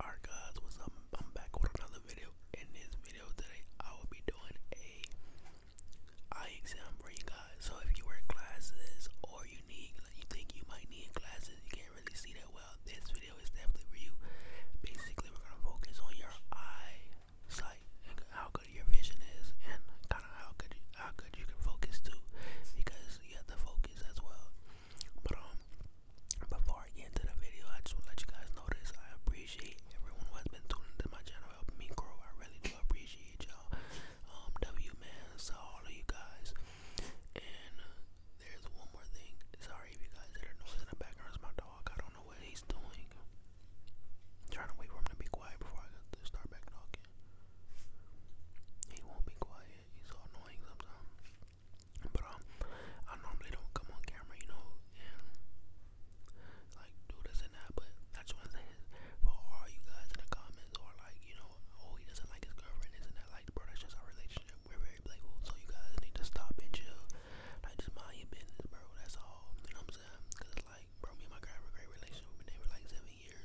Alright guys, what's up? I'm back with another video. In this video today, I will be doing a eye exam for you guys. So if you wear glasses or you need, like you think you might need glasses, you can't really see that well, this video is definitely for you. Basically, we're gonna focus on your eye sight and how good your vision is, and kind of how good you, how good you can focus too, because you have to focus as well. But um, before I get into the video, I just want to let you guys know this. I appreciate everyone who has been tuning to my channel, helping me grow. I really do appreciate y'all. Um, W man, so all of you guys. And uh, there's one more thing. Sorry if you guys hear noise in the background. It's my dog. I don't know what he's doing. trying to wait for him to be quiet before I start back talking. He won't be quiet he's so annoying sometimes. But um, I normally don't come on camera, you know, and like do this and that. But I just wanna say this for all you guys in the comments or like, you know, oh he doesn't like his girlfriend, isn't that like, bro? That's just our relationship. We're very playful, so you guys need to stop and chill. Like just mind your business, bro. That's all. You know what I'm saying? Cause it's like, bro, me and my girl have a great relationship. We've been there for like seven years.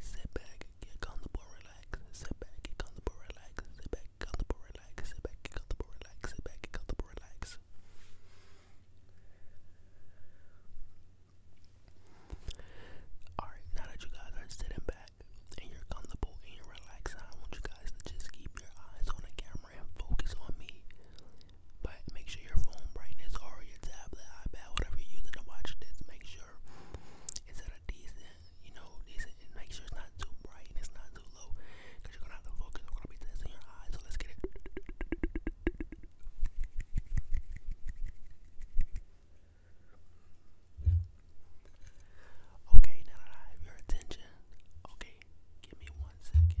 Sit back, get comfortable, relax. Sit back, get comfortable, relax. Sit back, get comfortable, relax. Sit back, get comfortable, relax. Sit back, get comfortable, relax. Alright, now that you guys are sitting back and you're comfortable and you're relaxed, I want you guys to just keep your eyes on the camera and focus on me. But make sure your phone brightness or your tablet, iPad, whatever you're using to watch this, make sure it's at a decent, you know, decent. And make sure it's not too bright and it's not too low, cause you're gonna have to focus. We're gonna be testing your eyes, so let's get it. Okay, now that I have your attention, okay, give me one second.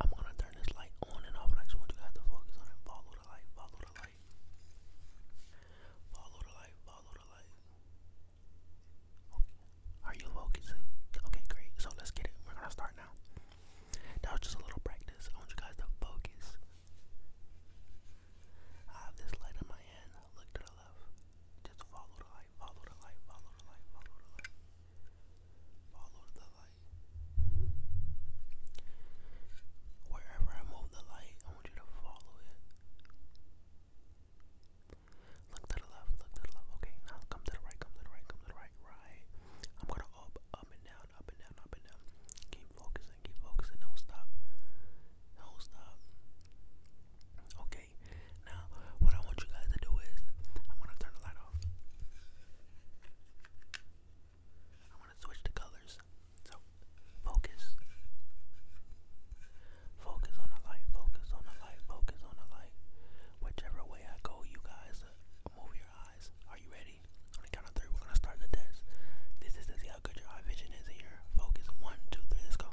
I'm gonna turn this light on and off, and I just want you guys to focus on it. Follow the light, follow the light. Follow the light, follow the light. Okay. Are you focusing? Okay, great. So let's get it. We're gonna start now. That was just a little practice. I want you guys to focus. I have this light in my hand. Look to the left. Just follow the light follow the light, follow the light, follow the light. Follow the light. Wherever I move the light, I want you to follow it. Look to the left, look to the left. Okay, now come to the right, come to the right, come to the right, right. I'm gonna up, up and down, up and down, up and down. Keep focusing, keep focusing, don't stop. Don't stop. Okay, okay? Now, what I want you guys to do is, I'm gonna turn the light off. I'm gonna switch the colors. So, focus. Focus on the light, focus on the light, focus on the light. Whichever way I go, you guys uh, move your eyes. Are you ready? On the count of three, we're gonna start the test. This is to see how good your eye vision is here. Focus. One, two, three, let's go.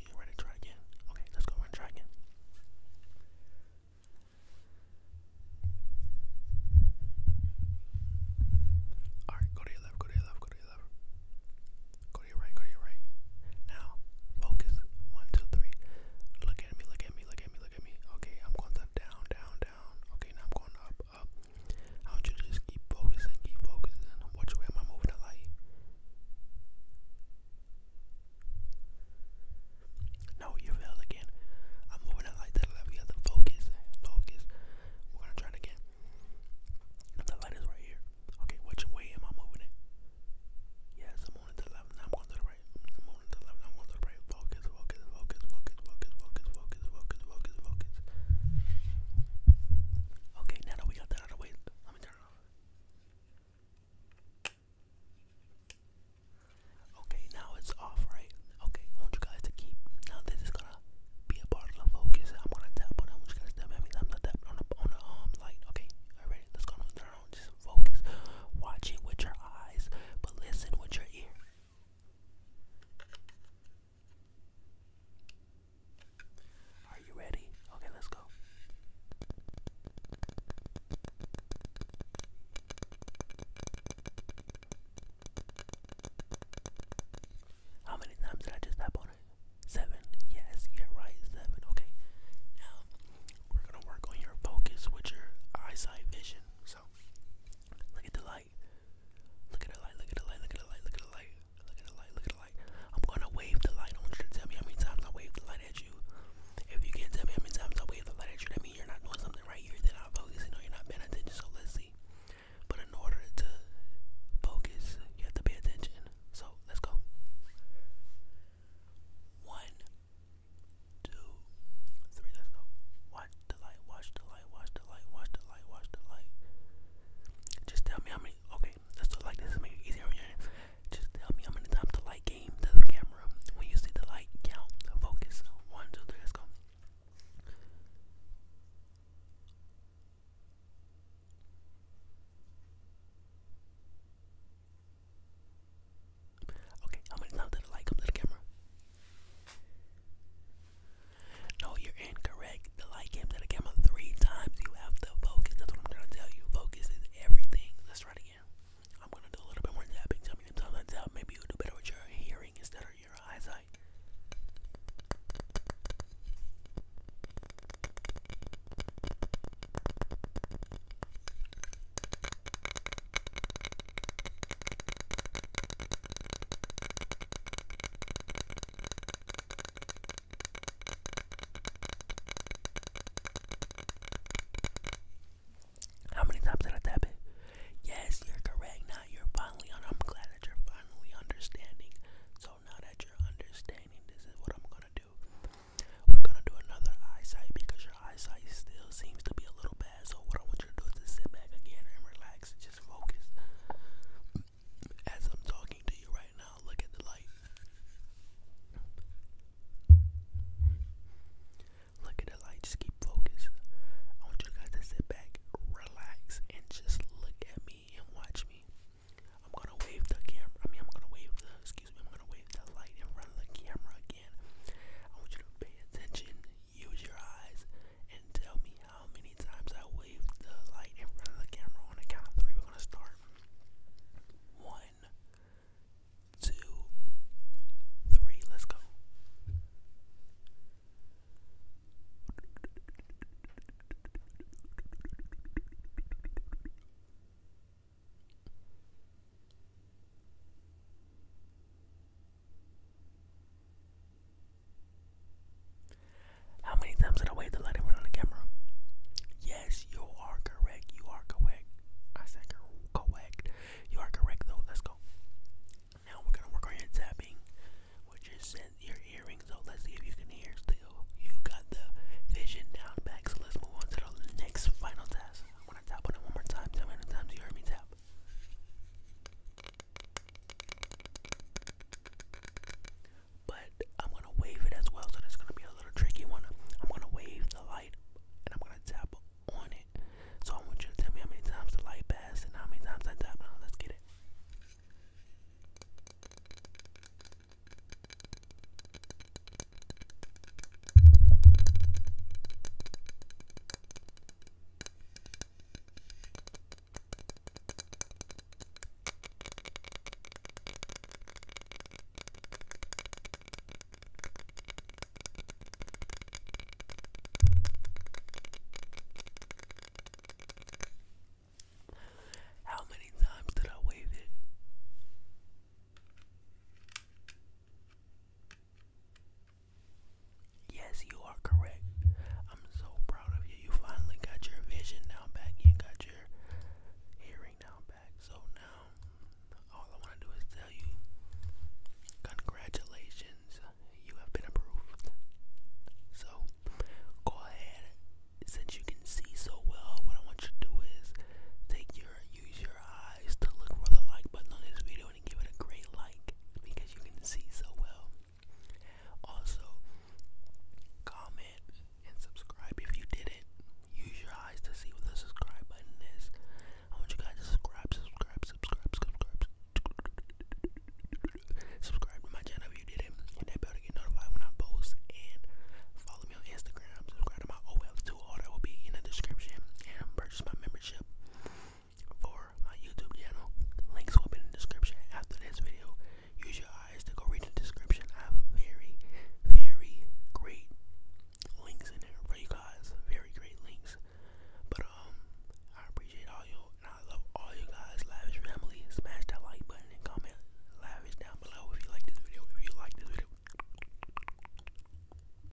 you ready to try again? Okay, let's go and try again. Alright, go to your left, go to your left, go to your left. Go to your right, go to your right. Now, focus. One, two, three. Look at me, look at me, look at me, look at me. Okay, I'm going down, down, down. Okay, now I'm going up, up. I want you just keep focusing, keep focusing. Watch where am I moving the light? No, you failed again. I'm moving it like that left. We have to focus. Focus. We're gonna try again. The light is right here. Okay, which way am I moving it? Yes, I'm moving to the left. Now I'm going to the right. I'm moving to the left. I'm going to the right. Focus, focus, focus, focus, focus, focus, focus, focus, focus, Okay, now that we got the that out of the way. Let me turn it off. Okay, now it's off, right? Okay, I want you guys to keep. Now this is gonna be a part of the focus. I'm gonna tap on it. I want you guys to tap at me. I'm not tapping on the on the um light. Okay, alright, let's go on turn on. Just focus. Watch it with your eyes, but listen with your ear. Are you ready? Okay, let's go. How many times did I just tap on it? Seven. Yes, you're right, seven. Okay. Now we're gonna work on your focus with your eyesight vision. So look at the light. Look at the light, look at the light, look at the light, look at the light, look at the light, look at the light. I'm gonna wave the light. I want you to tell me how many times I wave the light at you. If you can't tell me how many times I wave the light at you, that means you're not doing something right. You're then not focusing or you're not paying attention, so let's see. But in order to focus, you have to pay attention. So let's go. One, two, three, let's go. Watch the light, watch the light light, watch the Just tell me how many. Okay, let like this to make it easier on your Just tell me how many times the light came to the camera. When you see the light, count, focus. One, two, three, let's go. Okay, how many times did the light come to the camera? No, you're incorrect. The light came to the camera three times. You have to focus. That's what I'm trying to tell you. Focus is everything. Let's try it again. I'm gonna do a little bit more tapping. Tell me the time that's out. Maybe you'll do better with your hearing instead of your eyesight. How many times did I tap it? Yes, you're correct. Now you're finally on. I'm glad that you're finally understanding. So now that you're understanding, this is what I'm gonna do. We're gonna do another eyesight because your eyesight still seems to be a little bad. So what I want you to do is sit back again and relax just focus. As I'm talking to you right now, look at the light. Look at the light, just keep focused. I want you guys to sit back, relax, and just look at me and watch me. I'm gonna wave the camera. I mean, I'm gonna wave the, excuse me, I'm gonna wave the light in front the camera again. I want you to pay attention, use your eyes, and tell me how many times I wave the light in front of the camera on the count of three. We're gonna start. One, two, three. Let's go. How many times did I wave the light and run on the camera? Yes, you are correct. You are correct. I said correct. You are correct though. Let's go. Now we're gonna work on your tapping, which is in your earring. So let's see if you can hear still. You got the vision down back. So let's move on to the next final task. I'm gonna tap one more time. how many times you heard me tap. But I'm gonna wave it as well, so it's gonna be a little tricky one. I'm gonna wave the light and I'm gonna tap on it. So I want you to tell me how many times the light passed and how many times I tapped. Now let's get it. How many times did I wave it? Yes, you are correct. I'm so proud of you. You finally got your vision now back. You got your hearing now back. So now, all I want to do is tell you congratulations. You have been approved. So, go ahead. Since you can see so well, what I want you to do is take your use your eyes to look for the like button on this video video and give it a great like because you can see so well. Also, comment and subscribe if you didn't. Use your eyes to see what the subscribe button is. I want you guys to subscribe, subscribe, subscribe, subscribe, subscribe to my channel if you didn't. Hit that bell to get notified when I post and follow me on Instagram. Subscribe to my OL2 order will be in the description and purchase my membership for my YouTube channel. Links will be in the description after this video. Use your eyes to go read the description. I have very, very great links in there for you guys. Very great links. But um, I appreciate all you and I love all you guys. smash that like button and comment. Lavish down below if you like this video. If you like this video.